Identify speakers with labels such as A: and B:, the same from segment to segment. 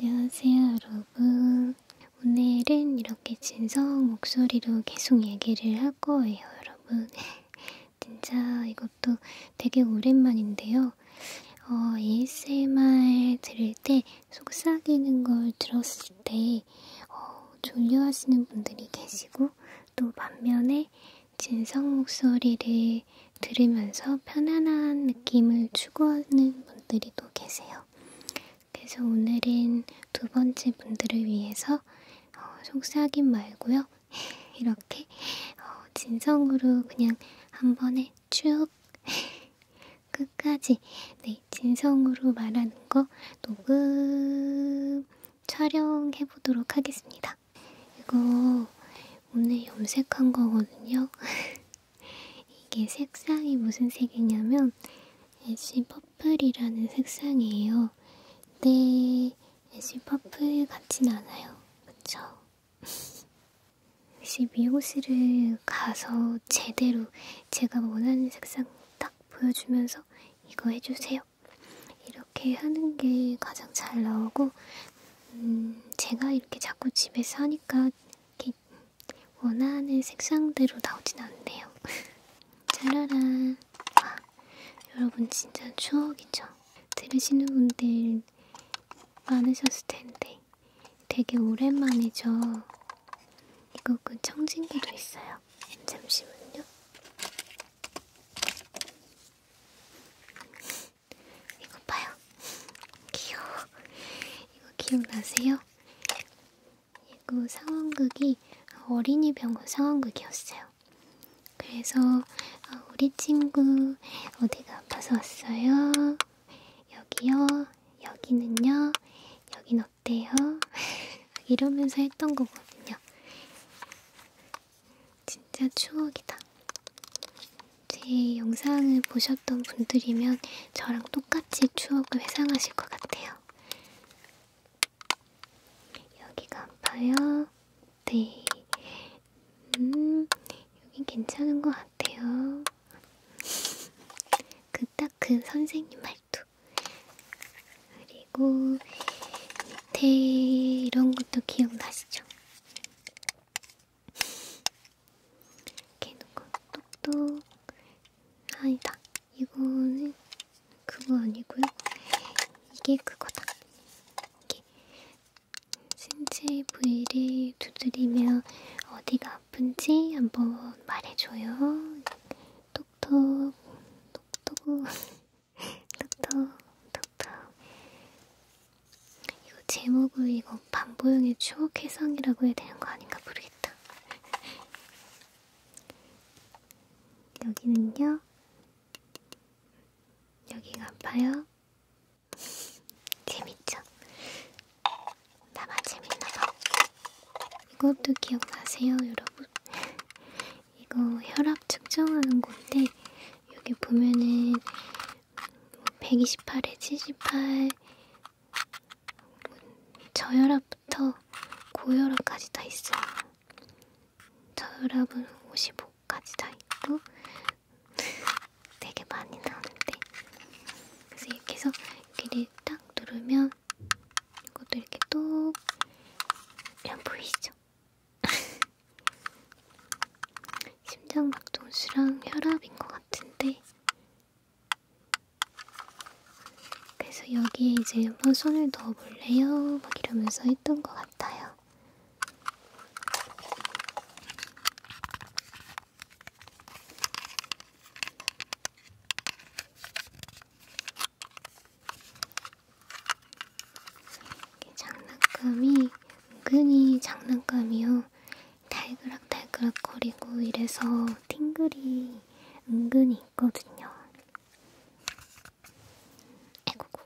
A: 안녕하세요 여러분 오늘은 이렇게 진성 목소리로 계속 얘기를 할 거예요 여러분 진짜 이것도 되게 오랜만인데요 어, ASMR 들을 때 속삭이는 걸 들었을 때 어, 졸려하시는 분들이 계시고 또 반면에 진성 목소리를 들으면서 편안한 느낌을 추구하는 분들이 분들도 계세요. 그래서 오늘은 두 번째 분들을 위해서 어, 속삭임 말고요. 이렇게 어, 진성으로 그냥 한 번에 쭉 끝까지 네, 진성으로 말하는 거 녹음 촬영해 보도록 하겠습니다. 이거 오늘 염색한 거거든요. 이게 색상이 무슨 색이냐면 애쉬 퍼플이라는 색상이에요. 근데 애쉬 퍼플 같진 않아요. 그쵸? 혹시 미용실을 가서 제대로 제가 원하는 색상 딱 보여주면서 이거 해주세요. 이렇게 하는 게 가장 잘 나오고 음, 제가 이렇게 자꾸 집에서 하니까 이렇게 원하는 색상대로 나오진 않네요. 짜라란. 와, 여러분 진짜 추억이죠? 들으시는 분들 많으셨을 텐데 되게 오랜만이죠. 이거 그 청진기도 있어요. 잠시만요. 이거 봐요. 귀여워. 이거 기억나세요? 이거 상황극이 어린이 병원 상황극이었어요. 그래서 아, 우리 친구 어디가 아파서 왔어요? 여기요. 여기는요. 여긴 어때요? 이러면서 했던 거거든요. 진짜 추억이다. 제 영상을 보셨던 분들이면 저랑 똑같이 추억을 회상하실 것 같아요. 여기가 아파요. 네. 음, 여긴 괜찮은 것 같아요. 그 딱 그 선생님 말투. 그리고 밑에 이런 것도 기억나시죠? 이렇게 놓고 똑똑 아니다 이거는 그거 아니고요 이게 그거다 이게 신체 부위를 두드리며 어디가 아픈지 한번 말해줘요 똑똑 똑똑 똑똑 똑똑 이거 제목을 이거 반보영의 추억 해상이라고 해야 되는 거 아닌가 모르겠다. 여기는요. 여기가 아파요. 재밌죠? 나만 재밌나봐. 이것도 기억나세요, 여러분? 이거 혈압 측정하는 건데 여기 보면은 128에 뭐 78, 저혈압부터 고혈압까지 다 있어요. 저혈압은 55까지 다 있고 되게 많이 나오는데 그래서 이렇게 해서 여기를 딱 누르면 이것도 이렇게 똑 이런 보이시죠? 심장박동수랑 혈압인 것 같은데 그래서 여기에 이제 한번 손을 넣어볼래요? 막 이러면서 했던 것 같아요. 장난감이 은근히 장난감이요. 달그락달그락 거리고 이래서 팅글이 은근히 있거든요. 에고고.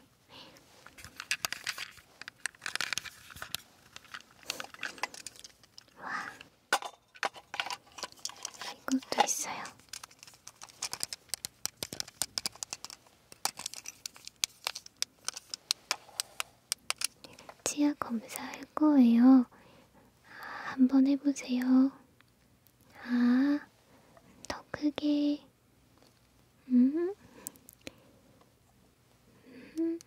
A: 와. 이것도 있어요. 치아 검사할 거예요. 아, 한번 해보세요. 아, 더 크게. 음. 음.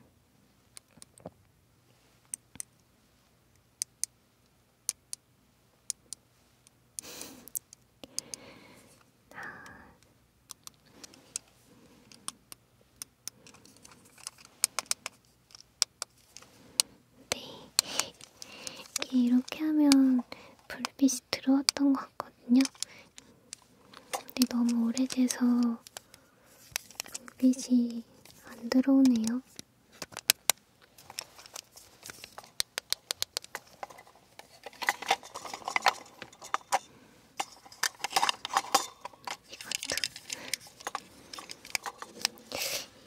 A: 아. 네. 이렇게, 이렇게 하면 블루빛이 들어왔던 것 같거든요. 근데 너무 오래돼서 블루빛이 안 들어오네요. 이것도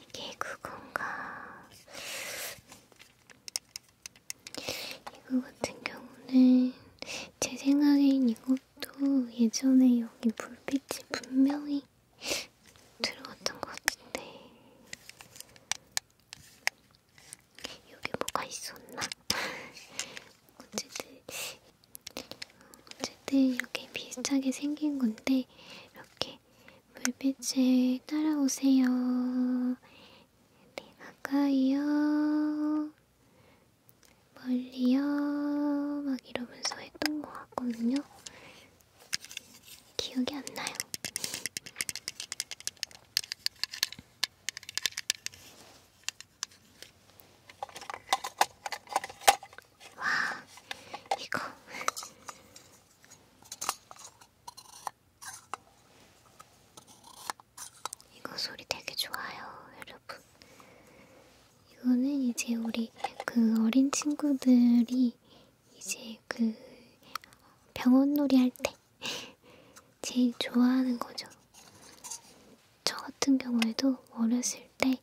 A: 이게 그건가? 이거 같은 경우는 제 생각엔 이것도 예전에 여기 불빛이 분명히 들어갔던 것 같은데 여기 뭐가 있었나? 어쨌든 어쨌든 이렇게 비슷하게 생긴 건데 이렇게 불빛을 따라오세요. 네, 가까이요. 멀리요. 막 이러면서 했던 것 같거든요. 기억이 안 나요. 와, 이거. 이거 소리 되게 좋아요, 여러분. 이거는 이제 우리 그 어린 친구들이 이제 그 병원놀이 할 때 제일 좋아하는 거죠. 저 같은 경우에도 어렸을 때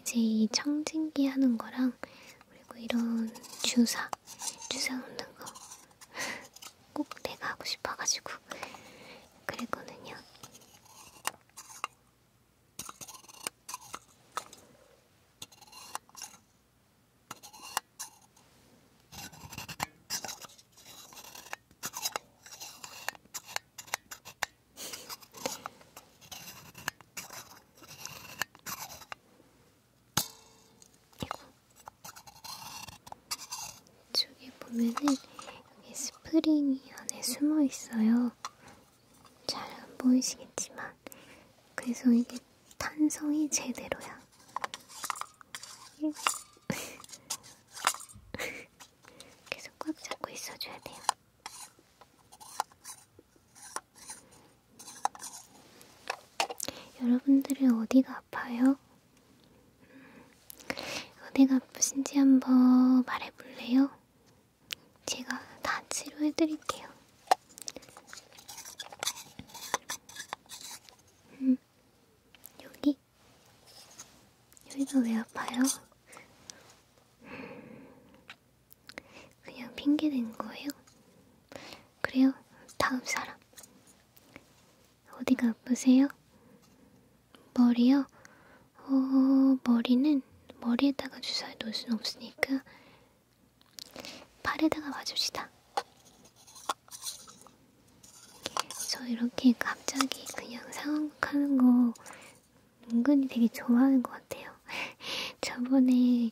A: 이제 이 청진기 하는 거랑 그리고 이런 주사, 주사 놓는 거 꼭 내가 하고 싶어가지고 그랬거든요. 이거 이쪽에 보면은 여기 스프링이 안에 숨어 있어요. 잘 안 보이시겠지만 그래서 이게 탄성이 제대로야. 예. 계속 꽉 잡고 있어줘야 돼요. 여러분들은 어디가 아파요? 음, 어디가 아프신지 한번 말해볼래요? 제가 다 치료해드릴게요. 음, 여기? 여기가 왜 아파요? 그냥 핑계 댄 거예요? 그래요? 다음 사람. 어디가 아프세요? 머리요? 어, 머리는 머리에다가 주사를 놓을 순 없으니까 팔에다가 와줍시다. 저 이렇게 갑자기 그냥 상황하는 거 은근히 되게 좋아하는 것 같아요. 저번에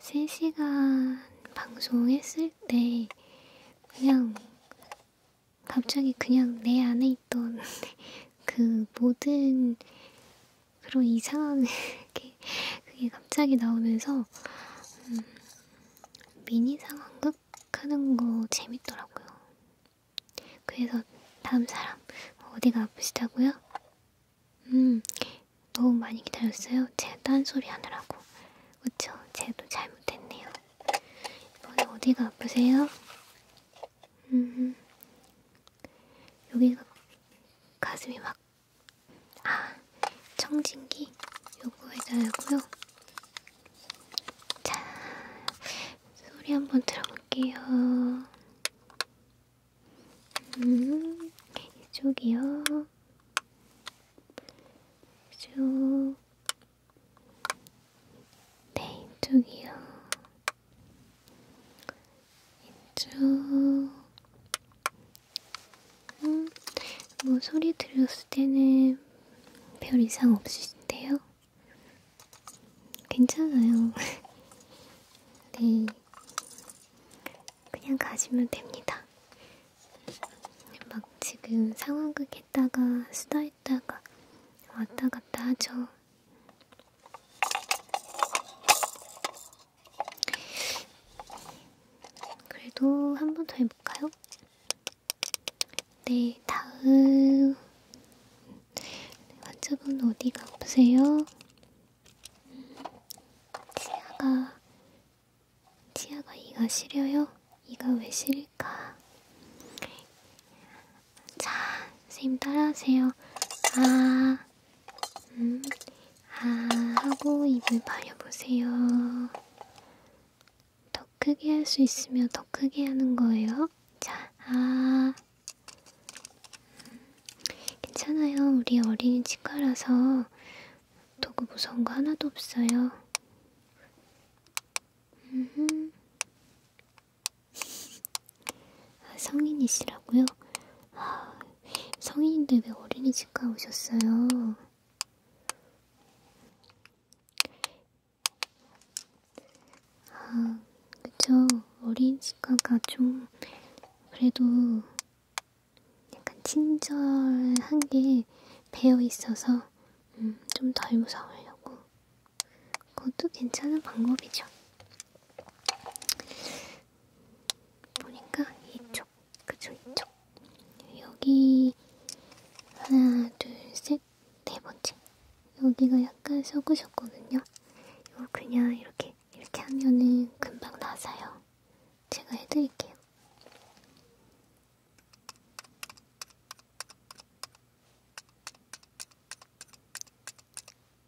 A: 3시간 방송했을 때 그냥 갑자기 그냥 내 안에 있던 그 모든 그런 이상한 게 그게 갑자기 나오면서 음, 미니 상황극 하는 거 재밌더라고요. 그래서 다음 사람 어디가 아프시다고요? 음 너무 많이 기다렸어요. 제가 딴소리 하느라고 그쵸? 제도 잘못했네요. 이번에 어디가 아프세요? 음 여기가 가슴이 막 아, 청진기 요구해달라고요? 자, 소리 한번 들어볼게요. 음, 이쪽이요. 이쪽. 네, 이쪽이요. 이쪽. 음, 뭐 소리 들렸을 때는 별 이상 없으신데요? 괜찮아요. 네. 그냥 가시면 됩니다. 막 지금 상황극 했다가 수다 했다가 왔다 갔다 하죠. 그래도 한 번 더 해볼까요? 네, 다음 네, 환자분 어디가 아프세요? 치아가 치아가 이가 시려요? 이가 왜 시릴까? 자, 선생님 따라하세요. 아, 음, 아 하고 입을 벌려보세요. 더 크게 할 수 있으면 더 크게 하는 거예요. 자, 아. 괜찮아요. 우리 어린이 치과라서 도구 무서운 거 하나도 없어요. 음흠. 아, 성인이시라고요? 아, 성인인데 왜 어린이 치과 오셨어요? 아, 그쵸. 어린 치과가 좀, 그래도, 약간 친절한 게 배어있어서, 음, 좀덜 무서우려고. 그것도 괜찮은 방법이죠. 보니까 이쪽, 그쵸, 이쪽. 여기, 하나, 둘, 셋, 네 번째. 여기가 약간 서구셨거든요. 이거 그냥 이렇게 이렇게 하면은 금방 나아요. 제가 해드릴게요.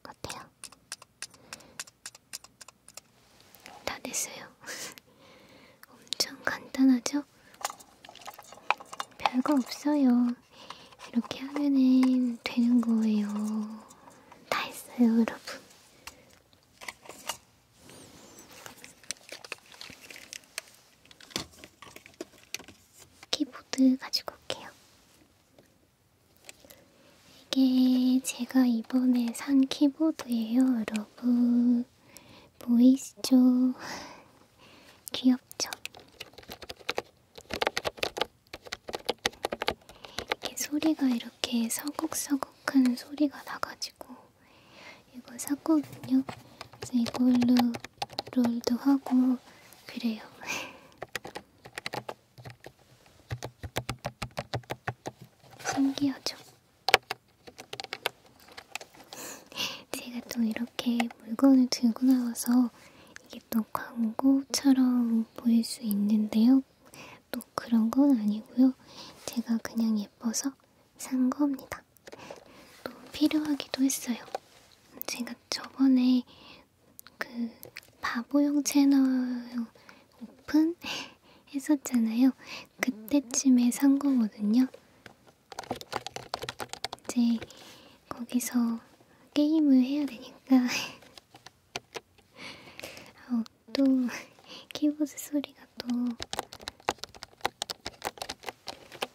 A: 어때요? 다 됐어요. 엄청 간단하죠? 별거 없어요. 이렇게 하면은 되는 거예요. 다 했어요, 여러분. 키보드 가지고 올게요. 이게 제가 이번에 산 키보드예요, 여러분. 보이시죠? 귀엽죠? 이게 소리가 이렇게 서걱서걱한 소리가 나가지고 이거 샀거든요. 그래서 이걸로 롤도 하고 그래요. 신기하죠? 제가 또 이렇게 물건을 들고 나와서 이게 또 광고처럼 보일 수 있는데요. 또 그런 건 아니고요. 제가 그냥 예뻐서 산 겁니다. 또 필요하기도 했어요. 제가 저번에 그 바보용 채널 오픈 했었잖아요. 그때쯤에 산 거거든요. 이제 거기서 게임을 해야 되니까 아우 또 키보드 소리가 또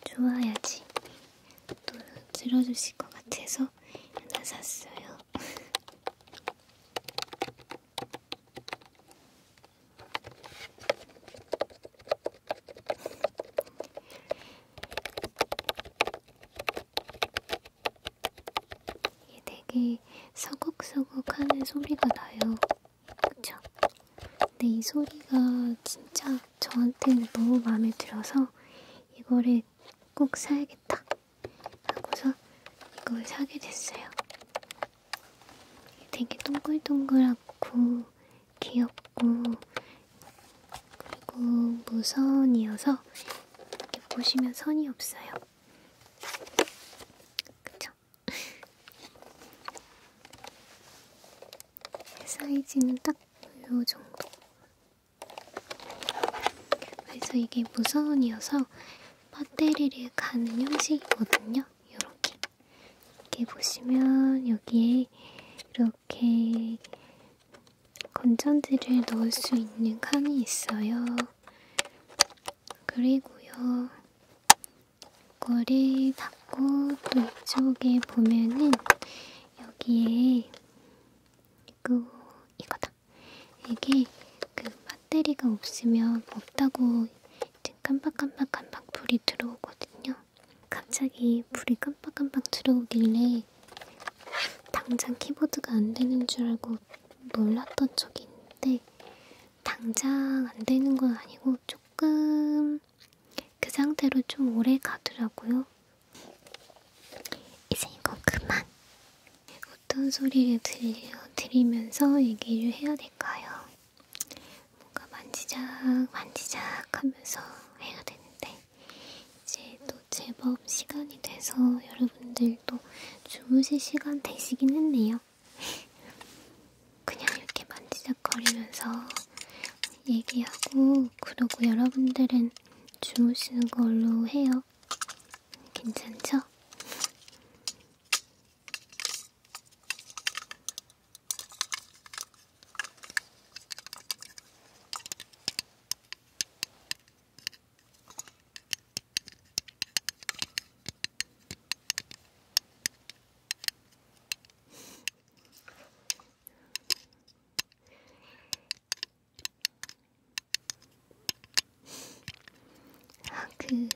A: 좋아야지 또 들어주실 것 같아서 하나 샀어요. 이게 되게 서걱서걱 하는 소리가 나요. 그쵸? 근데 이 소리가 진짜 저한테는 너무 마음에 들어서 이거를 꼭 사야겠다 하고서 이걸 사게 됐어요. 되게 동글동글하고 귀엽고 그리고 무선이어서 보시면 선이 없어요. 그쵸? 사이즈는 딱 요 정도. 그래서 이게 무선이어서 배터리를 가는 형식이거든요. 이렇게 이렇게 보시면 여기에 이렇게 건전지를 넣을 수 있는 칸이 있어요. 그리고요. 이거를 닫고 또 이쪽에 보면은 여기에 이거 이거다. 이게 그 배터리가 없으면 없다고 이제 깜빡깜빡깜빡 불이 들어오거든요. 갑자기 불이 깜빡깜빡 들어오길래 했는데 당장 키보드가 안 되는 줄 알고 놀랐던 적이 있는데 당장 안 되는 건 아니고 조금 그 상태로 좀 오래 가더라고요. 이제 이거 그만. 어떤 소리를 들려드리면서 얘기를 해야 될까요? 뭔가 만지작 만지작 하면서 해야 되는데 이제 또 제법 시간이 돼서 여러분들도 주무실 시간 되시긴 했네요. 그냥 이렇게 만지작거리면서 얘기하고 그러고 여러분들은 주무시는 걸로 해요. 괜찮죠? 아, 그,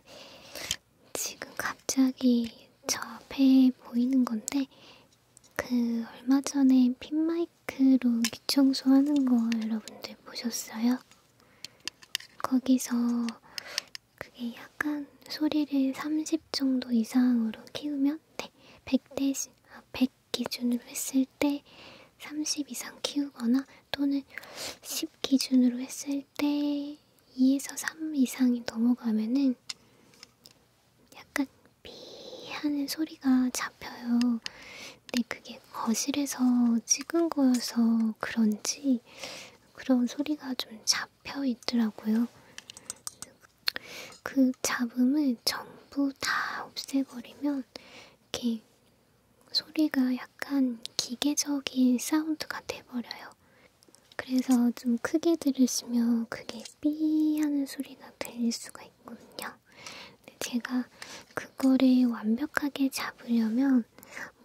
A: 지금 갑자기 저 앞에 보이는 건데, 그, 얼마 전에 핀마이 마이크로 귀 청소하는 거 여러분들 보셨어요? 거기서 그게 약간 소리를 30 정도 이상으로 키우면 네, 100대, 아, 100 기준으로 했을 때 30 이상 키우거나 또는 10 기준으로 했을 때 2에서 3 이상이 넘어가면은 약간 삐 하는 소리가 잡혀요. 근데 그게 거실에서 찍은 거여서 그런지 그런 소리가 좀 잡혀 있더라고요. 그 잡음을 전부 다 없애버리면 이렇게 소리가 약간 기계적인 사운드가 돼버려요. 그래서 좀 크게 들으시면 그게 삐 하는 소리가 들릴 수가 있거든요. 근데 제가 그거를 완벽하게 잡으려면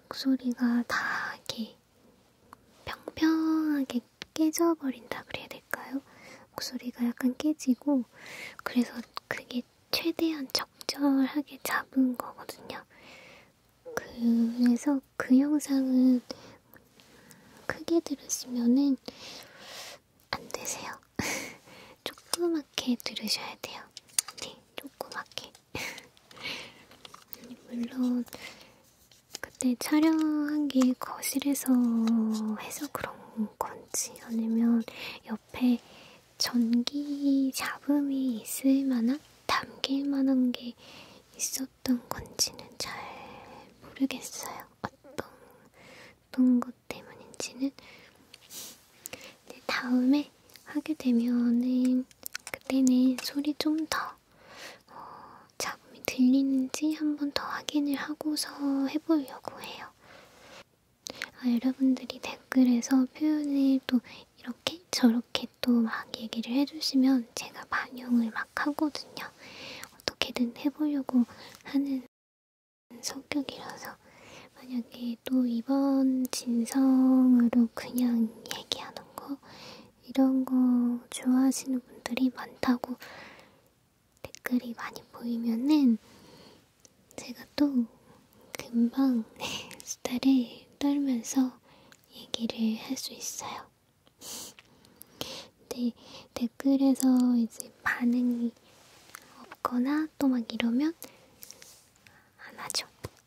A: 목소리가 다 이렇게 평평하게 깨져버린다 그래야 될까요? 목소리가 약간 깨지고 그래서 그게 최대한 적절하게 잡은 거거든요. 그래서 그 영상은 크게 들으시면은 안 되세요. 돼요. 조그맣게 들으셔야 돼요. 네, 조그맣게. 물론 그때 촬영한 게 거실에서 해서 그런 건지 아니면 옆에 전기 잡음이 있을 만한 담길 만한 게 있었던 건지는 잘 모르겠어요. 어떤 어떤 것 때문인지는 네, 다음에 하게 되면은 그때는 소리 좀더 어, 잡음이 들리는지 한번더 확인을 하고서 해보려고 해요. 아, 여러분들이 댓글에서 표현을 또 이렇게 저렇게 또 막 얘기를 해주시면 제가 반영을 막 하거든요. 어떻게든 해보려고 하는 성격이라서 만약에 또 이번 진성으로 그냥 얘기하는 거 이런 거 좋아하시는 분들이 많다고 댓글이 많이 보이면은 제가 또 금방 수다를 떨면서 얘기를 할 수 있어요. 근데 댓글에서 이제 반응이 없거나 또 막 이러면 안 하죠.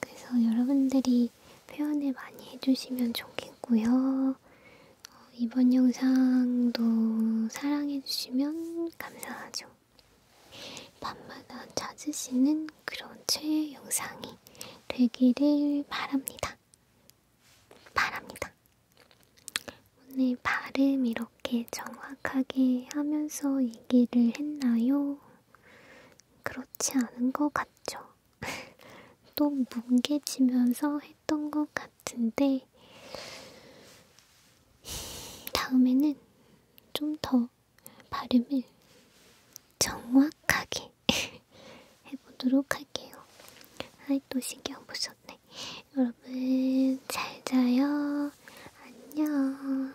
A: 그래서 여러분들이 표현을 많이 해주시면 좋겠고요. 어, 이번 영상도 사랑해주시면 감사하죠. 밤마다 찾으시는 그런 최애 영상이 되기를 바랍니다. 바랍니다. 오늘 발음 이렇게 정확하게 하면서 얘기를 했나요? 그렇지 않은 것 같죠. 또 뭉개지면서 했던 것 같은데, 다음에는 좀 더 발음을 정확하게 해보도록 할게요. 아이, 또 신경 못 썼네. 여러분, 잘 자요. 안녕.